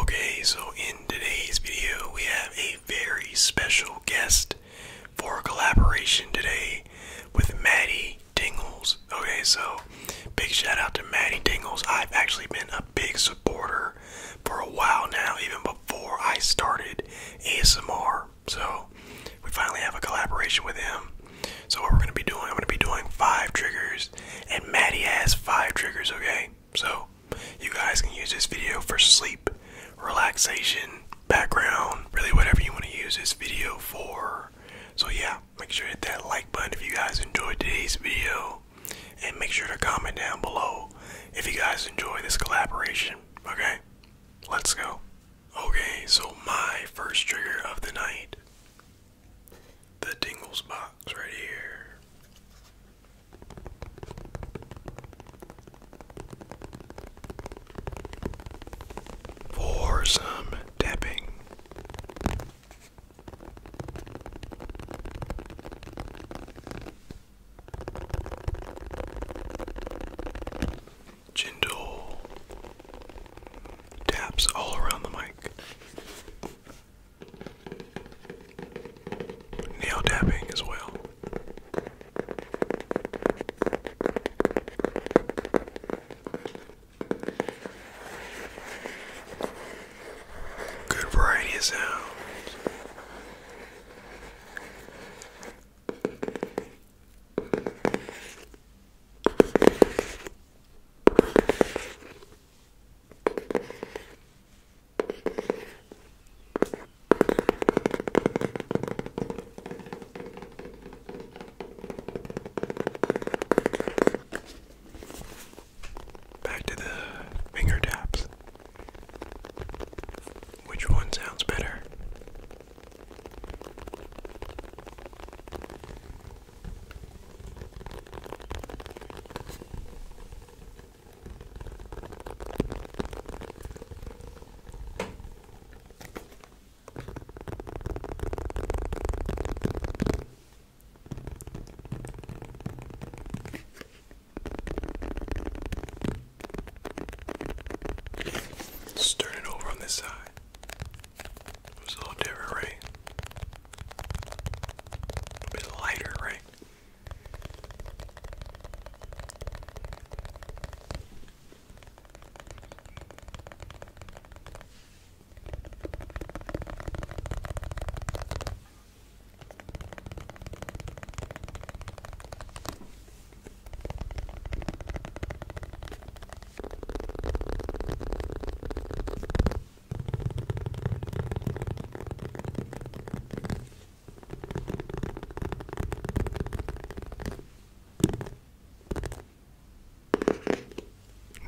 Okay, so in today's video, we have a very special guest for collaboration today with Maddie Dingles. Okay, so big shout out to Maddie Dingles. I've actually been a big supporter for a while now, even before I started ASMR. So we finally have a collaboration with him. So what we're gonna be doing, I'm gonna be doing five triggers, and Maddie has five triggers, okay? So, you guys can use this video for sleep, relaxation, background, really whatever you want to use this video for. So, yeah, make sure to hit that like button if you guys enjoyed today's video. And make sure to comment down below if you guys enjoy this collaboration. Okay? Let's go. Okay, so my first trigger of the night the Dingles box right here for some tapping. Gentle taps all around the mic. Nail tapping as well. Good variety of sounds. Back to the finger taps. Which one sounds better? Let's turn it over on this side. It was a little different, right? A bit lighter, right?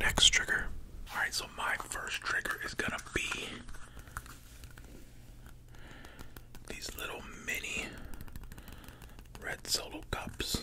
Next trigger. Alright, so my first trigger is gonna be these little mini red solo cups.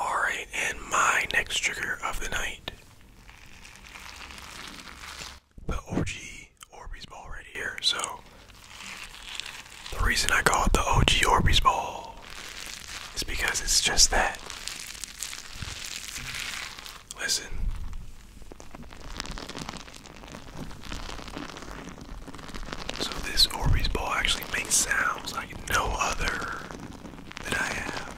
Alright, and my next trigger of the night. The OG Orbeez ball right here. So, the reason I call it the OG Orbeez ball is because it's just that. Listen. So, this Orbeez ball actually makes sounds like no other that I have.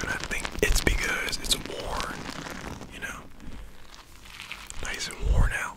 And I think it's because it's worn, you know, nice and worn out.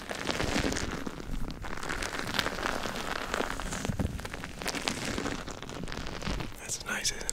That's nice, isn't it?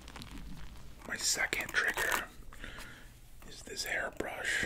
My second trigger is this hairbrush.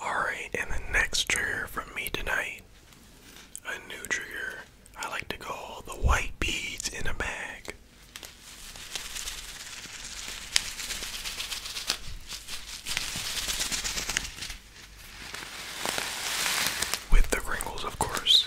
Alright, and the next trigger from me tonight, a new trigger I like to call the white beads in a bag. With the wrinkles, of course.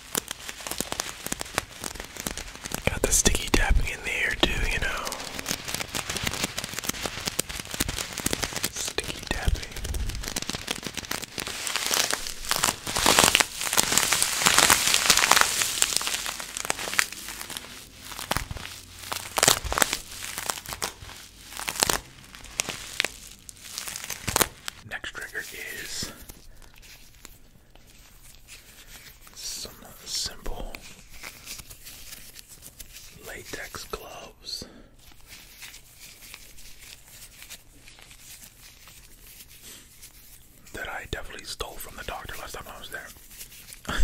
Got the sticky tapping in the air too, you know. Sticky tapping. Next trigger is some simple latex gloves. That I definitely stole from the doctor last time I was there.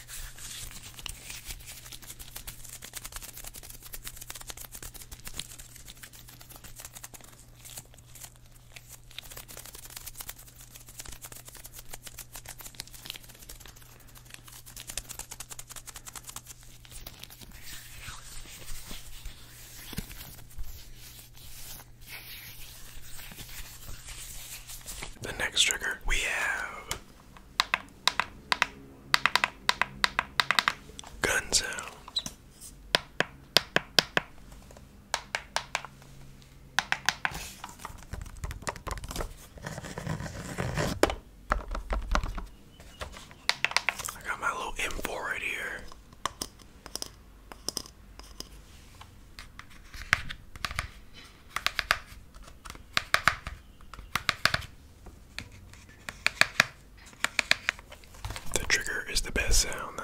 The next trigger we have Gun sounds. I got my little M4 right here. The trigger is the best sound, though.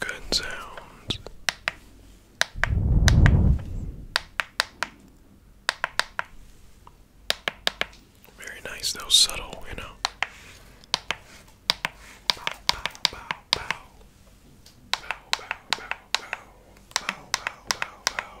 Good sounds. Very nice, though subtle, you know. Bow, bow, bow, bow. Bow, bow, bow, bow. Bow, bow, bow, bow.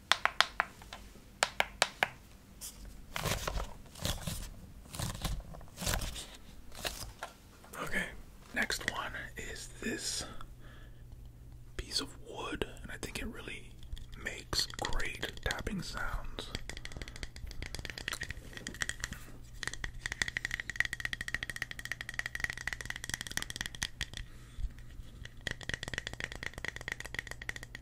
Okay, next one is this piece of wood, and I think it really makes great tapping sounds.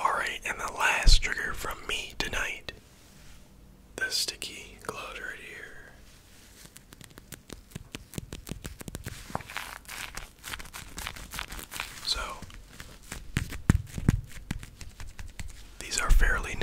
Alright, and the last trigger from me tonight the sticky gloves here. So, these are fairly new.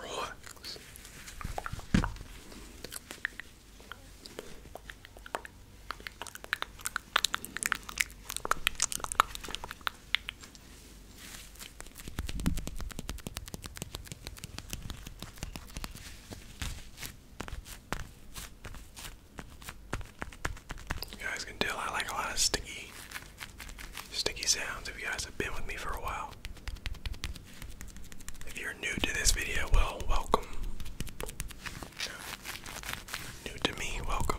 Relax. You guys can tell I like a lot of sticky Sticky sounds if you guys have been with me for a while. If you're new to this video, well, welcome. New to me, welcome.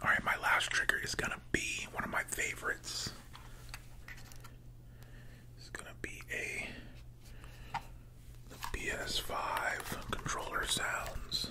All right, my last trigger is going to be one of my favorites. It's going to be a the PS5 controller sounds.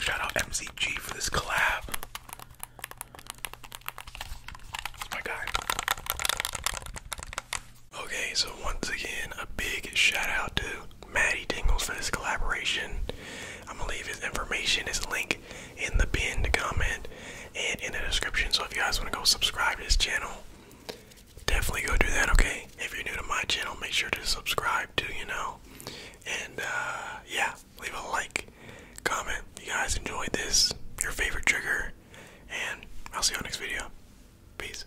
Shout out MCG for this collab. That's my guy. Okay, so once again, a big shout out to Maddie Dingles for this collaboration. I'm gonna leave his information, his link in the pinned comment and in the description. So if you guys wanna go subscribe to his channel, definitely go do that, okay? If you're new to my channel, make sure to subscribe too, you know. And uh yeah, leave a like, comment. You guys enjoyed this, your favorite trigger, and I'll see you on next video. Peace.